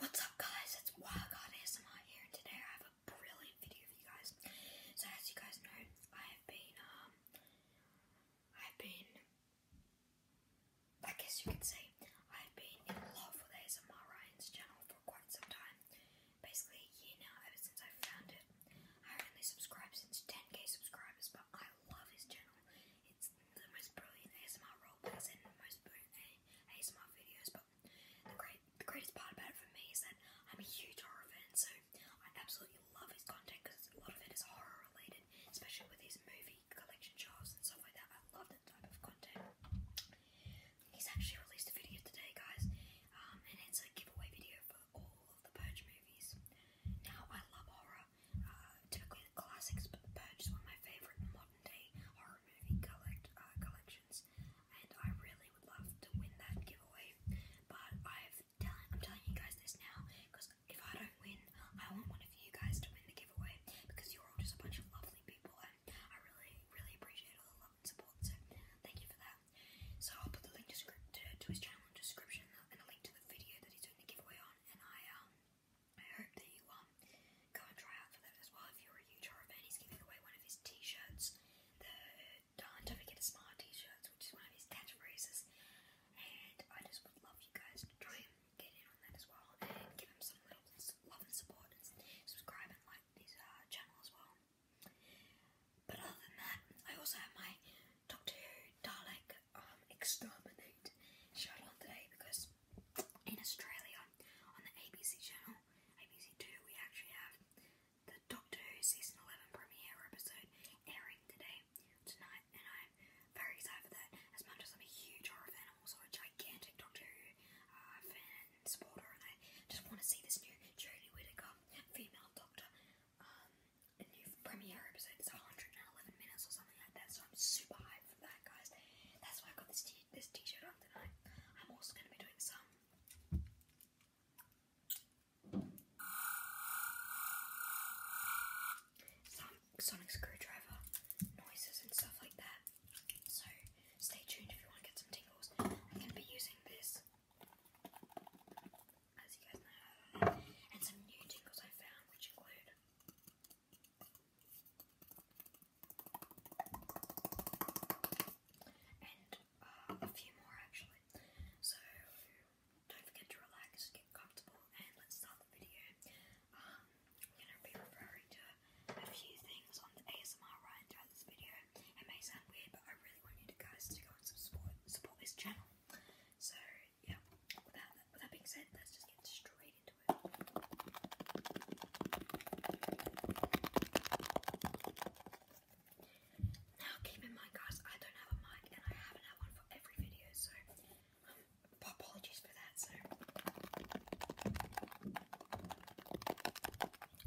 What's up guys, it's Wild God here and today I have a brilliant video for you guys. So as you guys know, I have been, um, I've been, I guess you could say, I've been in love with ASMR Ryan's channel for quite some time. Basically a year now, ever since I found it. I only subscribed since 10k subscribers, but I love his channel. It's the most brilliant ASMR role plays most brilliant ASMR videos, but the great the greatest part about it for me is that I'm a huge horror fan, so I absolutely love his content because a lot of it is horror related, especially with his movie collection shows and stuff like that. I love that type of content. He's actually released a video today, guys, um, and it's a giveaway video for all of the Purge movies. Now, I love horror, uh, classics, but The one of my favorite modern day horror movie collect uh, collections, and I really would love to win that giveaway. But i am telling you guys this now because if I don't win, I want one of you guys to win the giveaway because you're all just a bunch of lovely people, and I really, really appreciate all the love and support. So thank you for that. So I'll put the link to his channel in the description and a link to the video that he's doing the giveaway on, and I um. I hope that you um go and try out for that as well. If you're a huge fan, he's giving away one of his t-shirts. The Darn Don't Forget a Smile t-shirts, which is one of his catchphrases. And I just would love you guys to try and get in on that as well. give him some little love and support subscribe and like his uh, channel as well. But other than that, I also have my Doctor Who Dalek um, Exterminate shown on today because in Australia on the ABC channel, ABC2, we actually have the Doctor Who season 11 premiere episode airing today, tonight, and I'm very excited for that. As much as I'm a huge horror fan, I'm also a gigantic Doctor Who uh, fan and supporter, and I just want to see this new Jodie Whittaker female Doctor um, a new premiere episode. It's 111 minutes or something like that, so I'm super hyped that, guys. That's why I got this this t-shirt on tonight. I'm also gonna be doing some. Some sonic screwdriver noises and stuff like that. So stay tuned if you want to get some tingles. I'm gonna be using this, as you guys know, and some new tingles I found, which include and uh, a few more actually. So don't forget to relax, get comfortable, and let's start the video. Um, i gonna be referring to a few things on the ASMR right throughout this video. It may sound weird, but I really want you guys to go and support support this channel. So yeah, with that, with that being said, let's just get straight into it. Now, keep in mind, guys, I don't have a mic and I haven't had one for every video, so um, apologies for that. So, a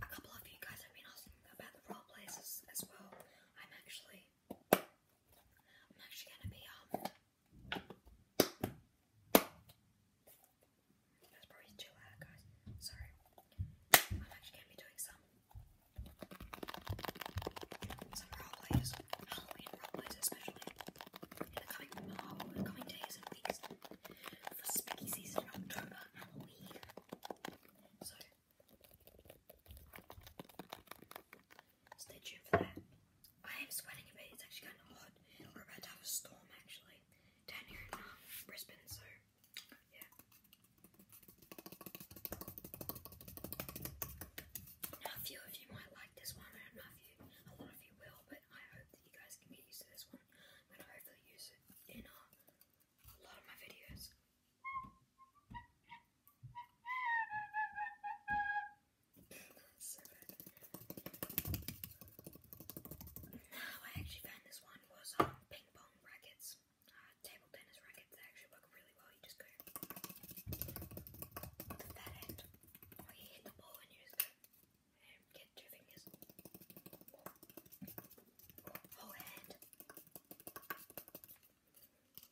couple of you guys have been asking about the role plays as, well. I'm actually. I'm actually gonna be um that's probably too loud, guys. Sorry. I'm actually going to be doing some some role plays, Halloween role plays especially, in the coming, oh, coming days and weeks for spooky season in October, Halloween. So stay tuned for that. I am sweating a bit, it's actually kind of hot. We're about to have a storm actually down here in um, Brisbane, so yeah. Now, a few of you might like this one, I don't know if you, a lot of you will, but I hope that you guys can get used to this one. I'm going to hopefully use it in uh, a lot of my videos so I actually found this one was um, ping pong rackets, uh, table tennis rackets. They actually work really well. You just go oh, you hit the ball and you just go and um, get two fingers, whole oh, hand. The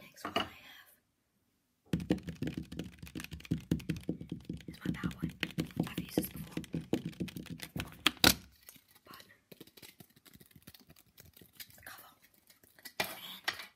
next one I have is my power one. I've used this before. But the cover and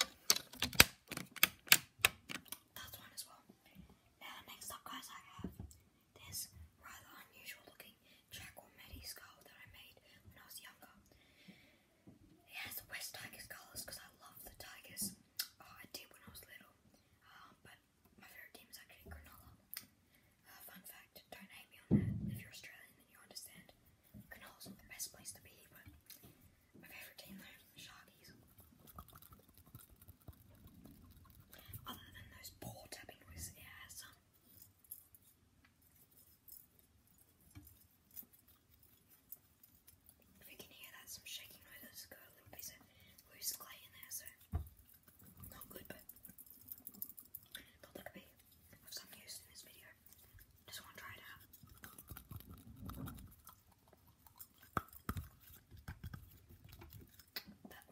That's one as well. Now, next up, guys, I have this rather unusual looking Jack or skull that I made when I was younger. It has West Tigers colours because I love the Tigers. Oh, I did when I was little. Um, but my favourite team is actually Granola. Uh, fun fact, don't hate me on that. If you're Australian, then you understand. Granola's not the best place to be, my favorite team there is the Sharkies. Other than those poor tapping noises, it some. If you can hear that, some shaking noises, got a little piece of clay in there, so not good, but thought that could be of some use in this video. Just want to try it out. That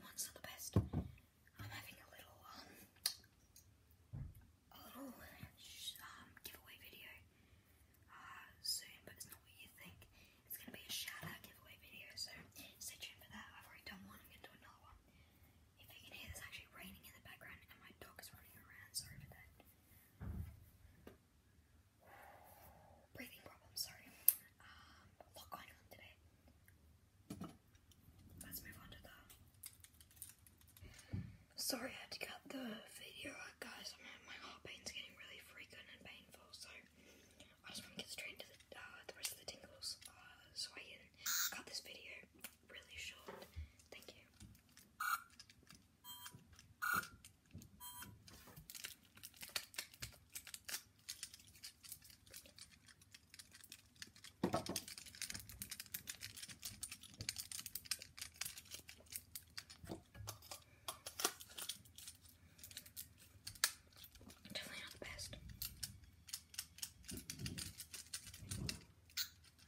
one's not the best. I'm having a little um a little um giveaway video uh, soon, but it's not what you think. It's gonna be a shout out giveaway video, so stay tuned for that. I've already done one, I'm gonna do another one. If you can hear, there's actually raining in the background, and my dog is running around. Sorry for that breathing problem, sorry. a lot going on today. Let's move on to that. Sorry I had to cut the video out, guys. my heart pain's getting really frequent and painful, so I just want to get straight into the, uh, the rest of the tingles uh, so I cut this video really short. Thank you. Definitely not the best.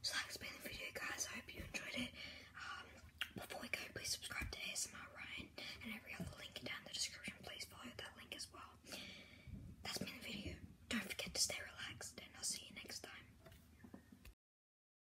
So that's been the video guys, I hope you enjoyed it. Um, before we go, please subscribe to ASMR Ryan and every other link down in the description, please follow that link as well. That's been the video, don't forget to stay relaxed and I'll see you next time.